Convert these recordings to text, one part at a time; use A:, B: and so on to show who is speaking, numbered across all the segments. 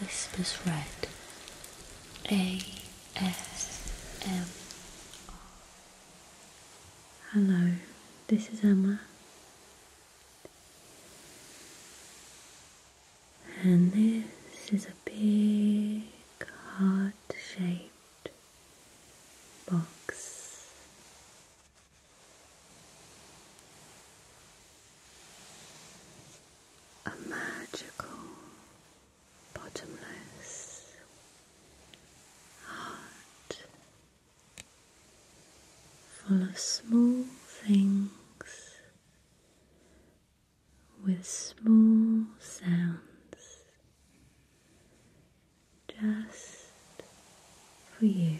A: Whispers Red A S M. Hello, this is Emma, and this is a big heart shaped box a magical, bottomless heart full of small things with small sounds just for you.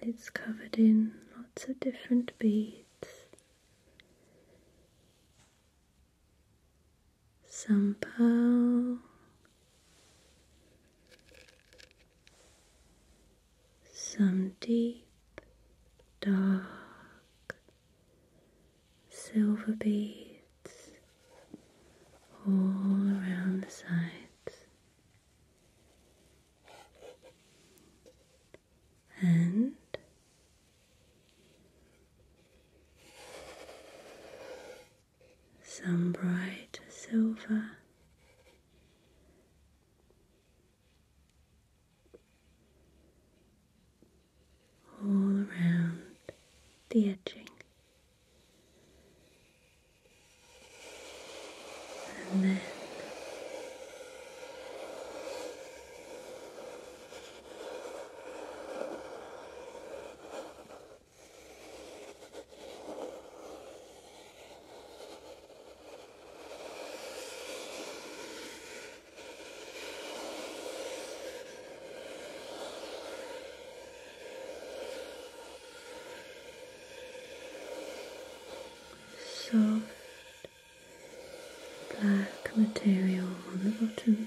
A: And it's covered in lots of different beads. Some Paulo, some deep, dark silver beads all around the sides, and some bright silver. All around the edging, and then soft black material on the bottom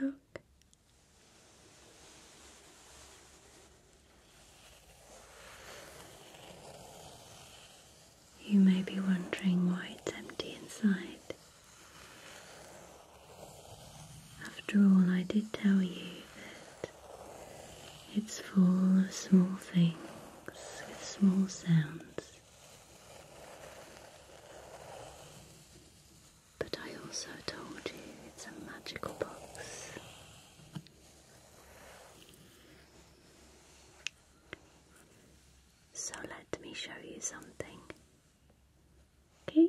A: Look. You may be wondering why it's empty inside. After all, I did tell you that it's full of small things with small sounds. But I also told you it's a magical box. So let me show you something. Okay?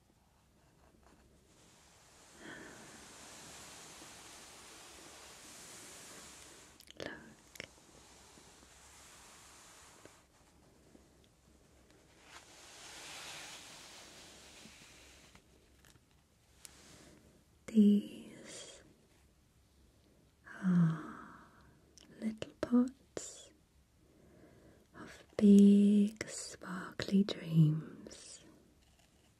A: Look. These are little pots of big, sparkly dreams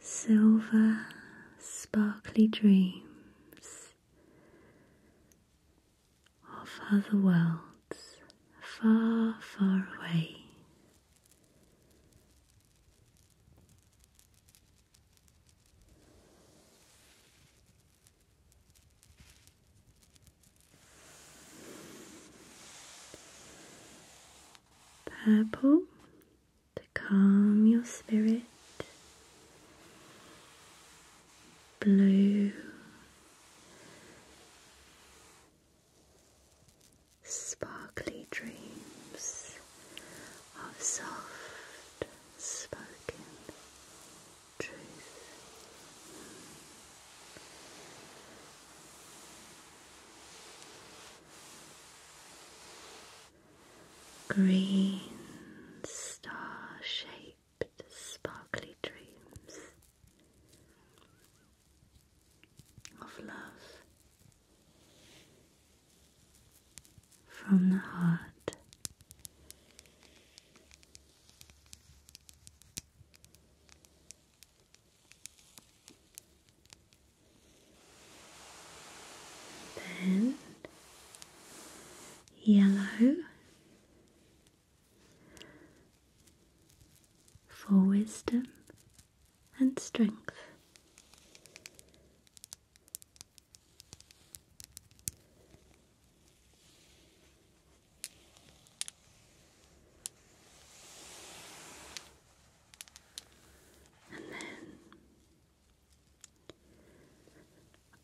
A: Silver sparkly dreams of other worlds far, far away. Purple to calm your spirit. Blue sparkly dreams of soft spoken truth. Green star shaped sparkly dreams of love from the heart then yellow for wisdom and strength and then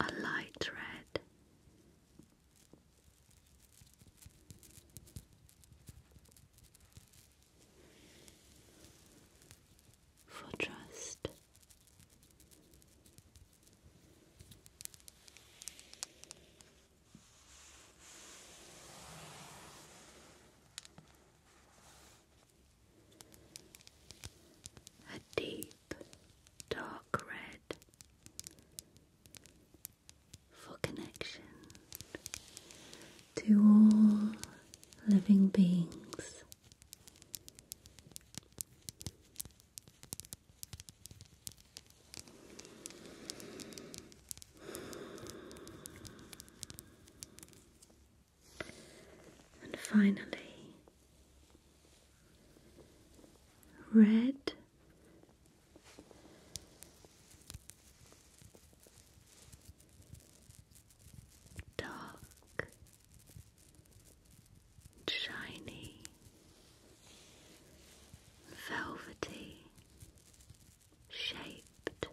A: a light red. For trust a deep dark red for connection to all living beings. And finally, red dark shiny, velvety, shaped,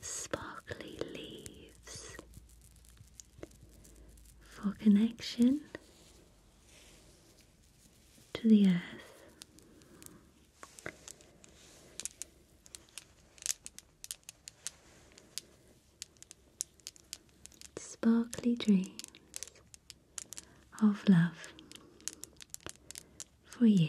A: sparkly leaves for connection to the earth. Sparkly dreams of love for you.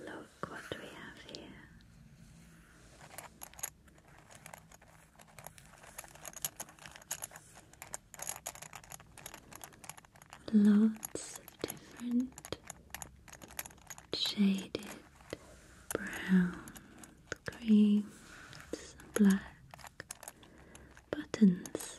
A: Look what we have here. Lots of different shaded brown, cream, black buttons.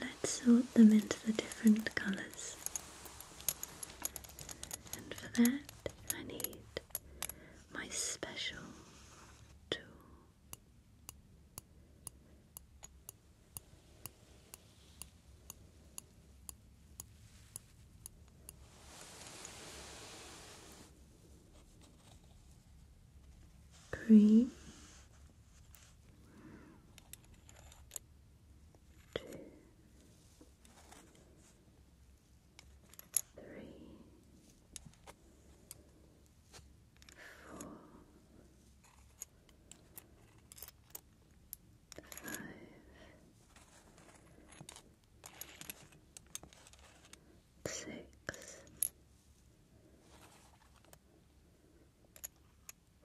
A: Let's sort them into the different colours. And for that, I need my special tool. Green two, three, four, five, six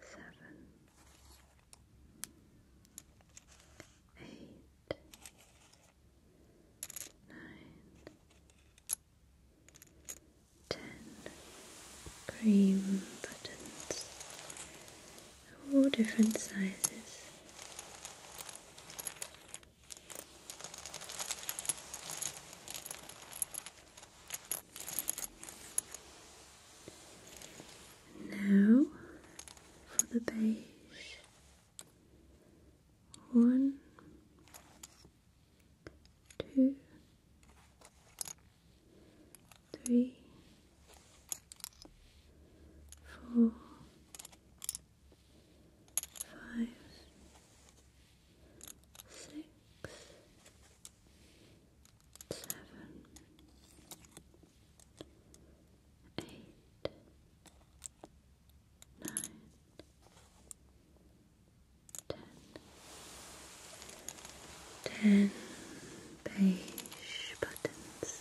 A: seven, eight, nine, ten cream buttons all different sizes. Now for the beige. One, two, three, four, five, six, seven, eight, nine, ten, ten beige buttons.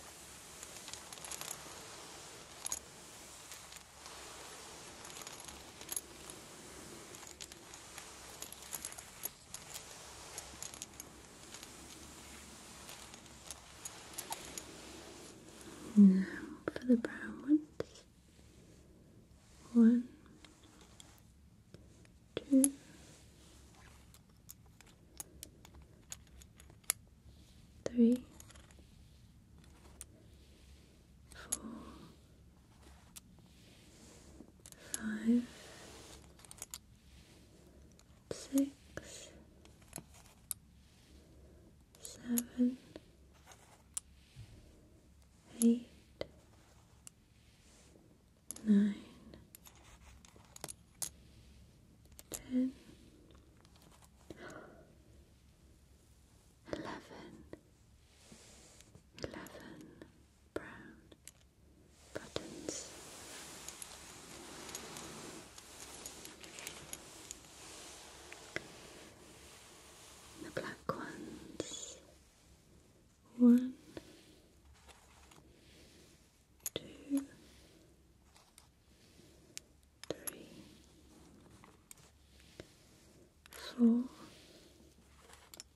A: Now for the brown ones. One, two, three, four, five, six, seven, eight, nine, ten, eleven eleven brown buttons. The black ones. One, two, three, four,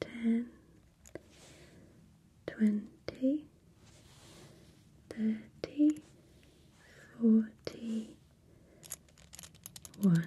A: ten, twenty, thirty, forty, one.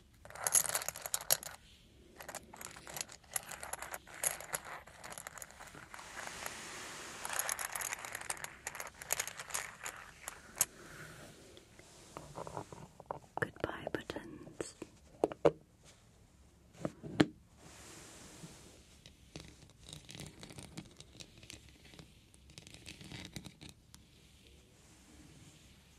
A: Goodbye buttons.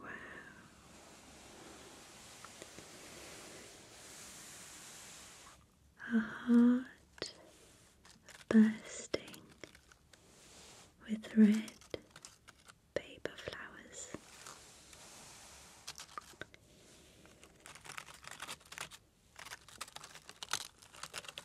A: Wow. A heart bursting with red paper flowers.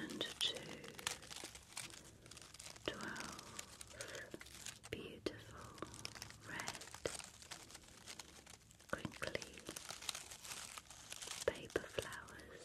A: and two, twelve, beautiful red, crinkly paper flowers.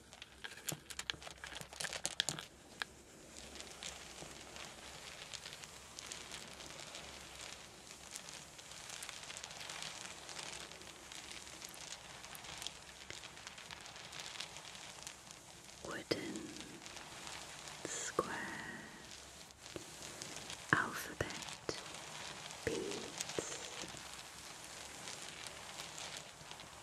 A: Wooden square alphabet beads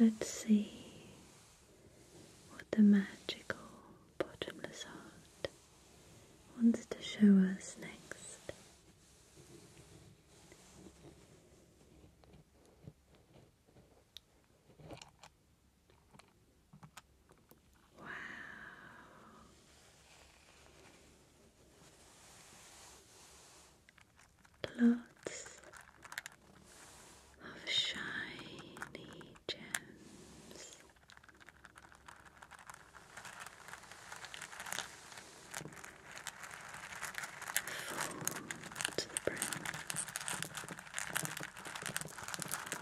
A: Let's see what the magical bottomless heart wants to show us next. Lots of shiny gems. Full to the brim.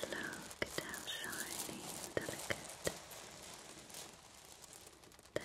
A: Look at how shiny delicate they are.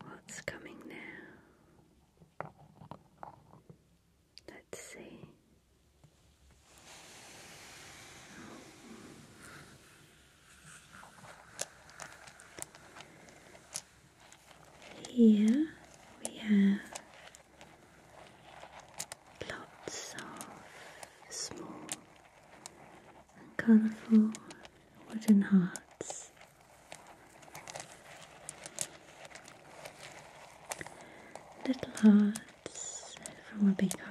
A: What's coming now? Let's see. Here we have lots of small and colourful wooden hearts. Little hearts from a big heart.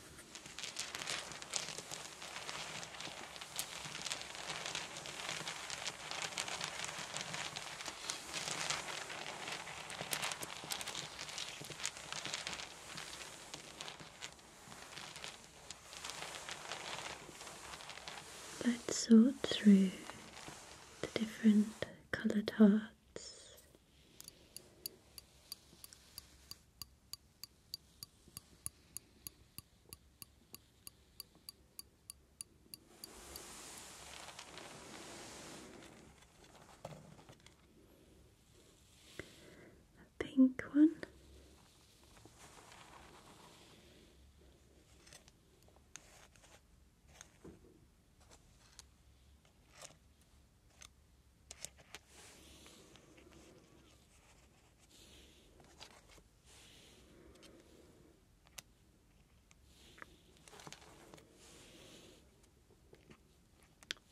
A: Let's sort through the different coloured hearts a pink one.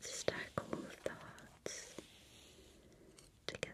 A: Stack all of together.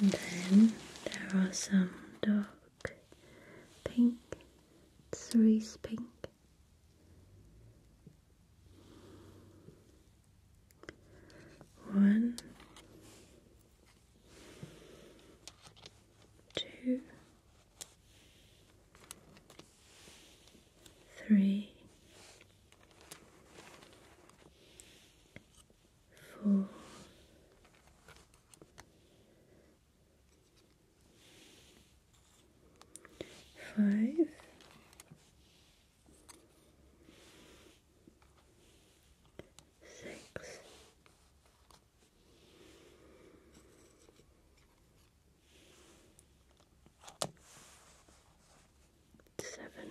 A: then there are some dark pink, cerise pink. One, two, three, four, five, six, seven,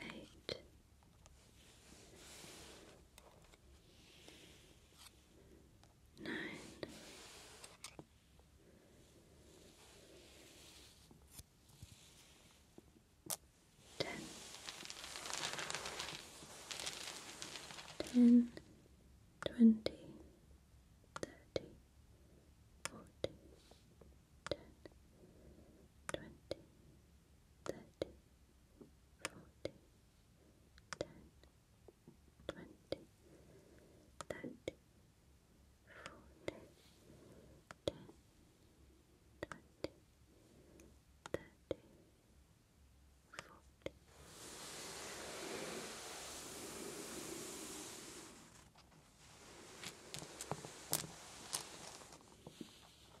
A: eight nine. Ten. Ten, twenty, thirty, forty, ten, twenty, thirty, forty, ten, twenty, thirty, forty, ten, twenty, thirty, forty. Now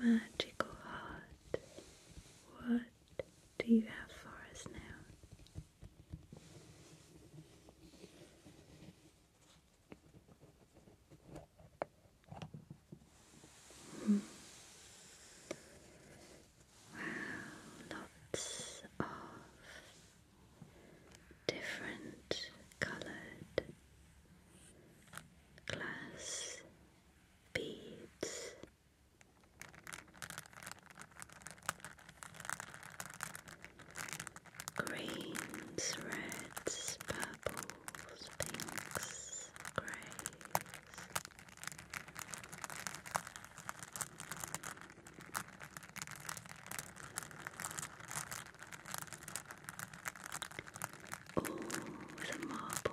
A: Magical heart, what do you have for us now? Hmm. Wow, lots of different colored glass beads. Greens, reds, purples, pinks, greys. Oh, the marbled pattern on.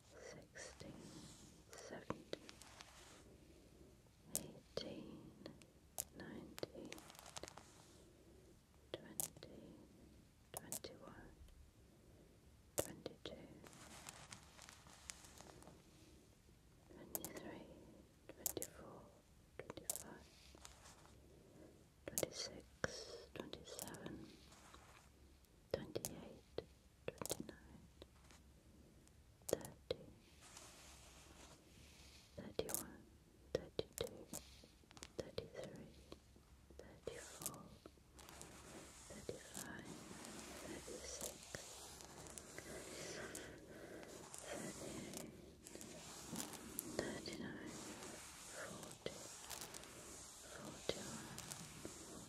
A: sixteen, seventeen, eighteen, nineteen, twenty, twenty-one, twenty-two, twenty-three, twenty-four, twenty-five, twenty-six, twenty-seven. 28 29 30 31 32 33 34 35 36 37 38 twenty-eight, twenty-nine, thirty, thirty-one, thirty-two, thirty-three, thirty-four, thirty-five, thirty-six, thirty-eight, thirty-nine, forty, forty-one, forty-two,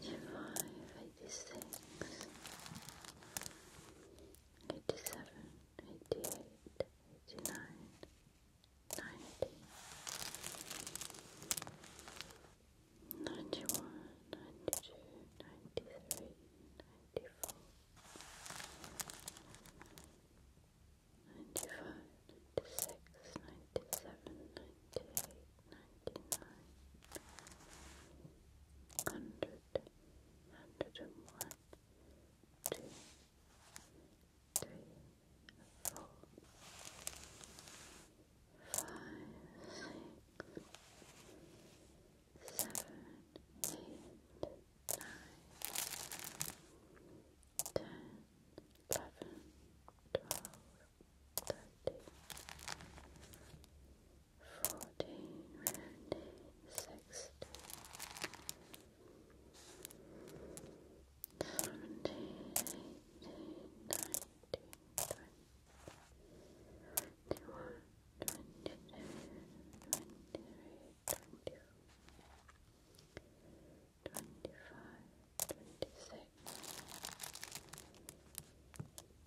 A: 85, 86, 87, 88, 89, 90, 91, 92, 93, 94, 95, 96, 97, 98 hundred, hundred and one, two, three, four, five, six, seven, eight, nine, ten, eleven, twelve. 13, fourteen, fifteen, sixteen, seventeen, eighteen, nineteen, twenty, twenty-one, twenty-two, twenty-three, twenty-four. 25,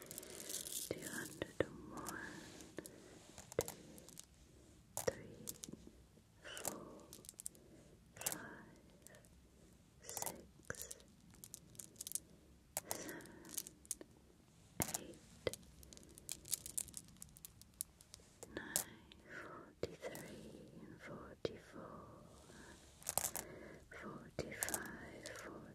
A: two hundred and one, two, three, four, five, six, seven, eight, nine, forty-three and forty-four, forty-five, forty.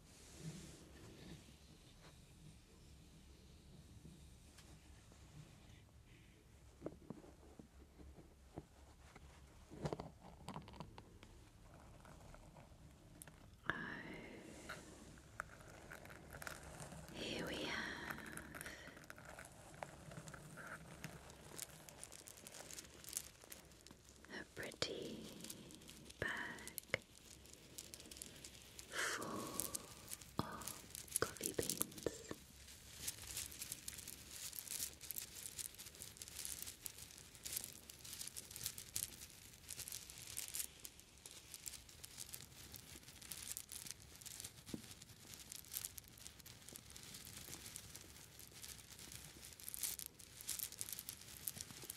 A: Oh. Here we have a pretty bag full of coffee beans.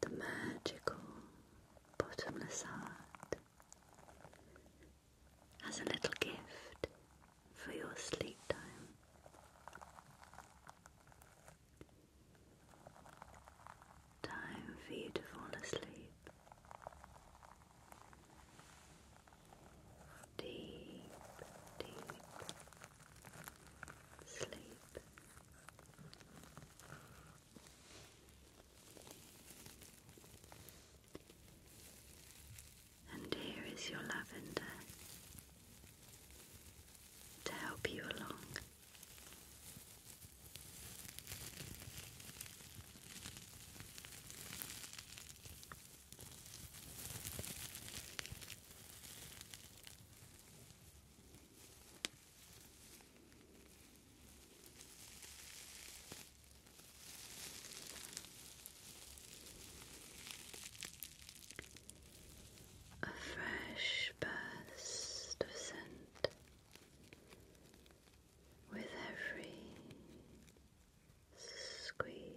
A: The magical bottomless heart has a little gift for your sleep time. Time for you to fall asleep deep, deep sleep. And here is your lavender to help you along. A fresh burst of scent with every squeeze.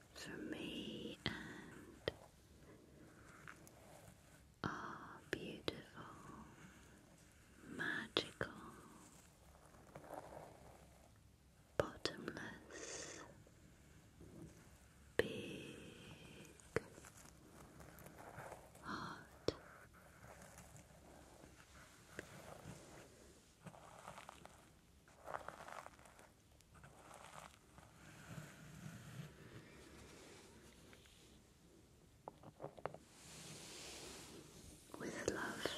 A: for me and beautiful, magical, bottomless, big heart with love.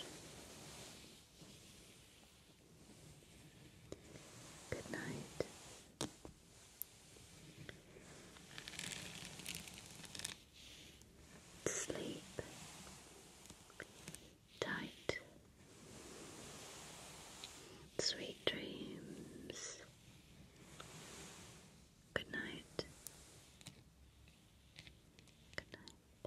A: Good night. Sleep tight. Sweet dreams. Good night. Good night.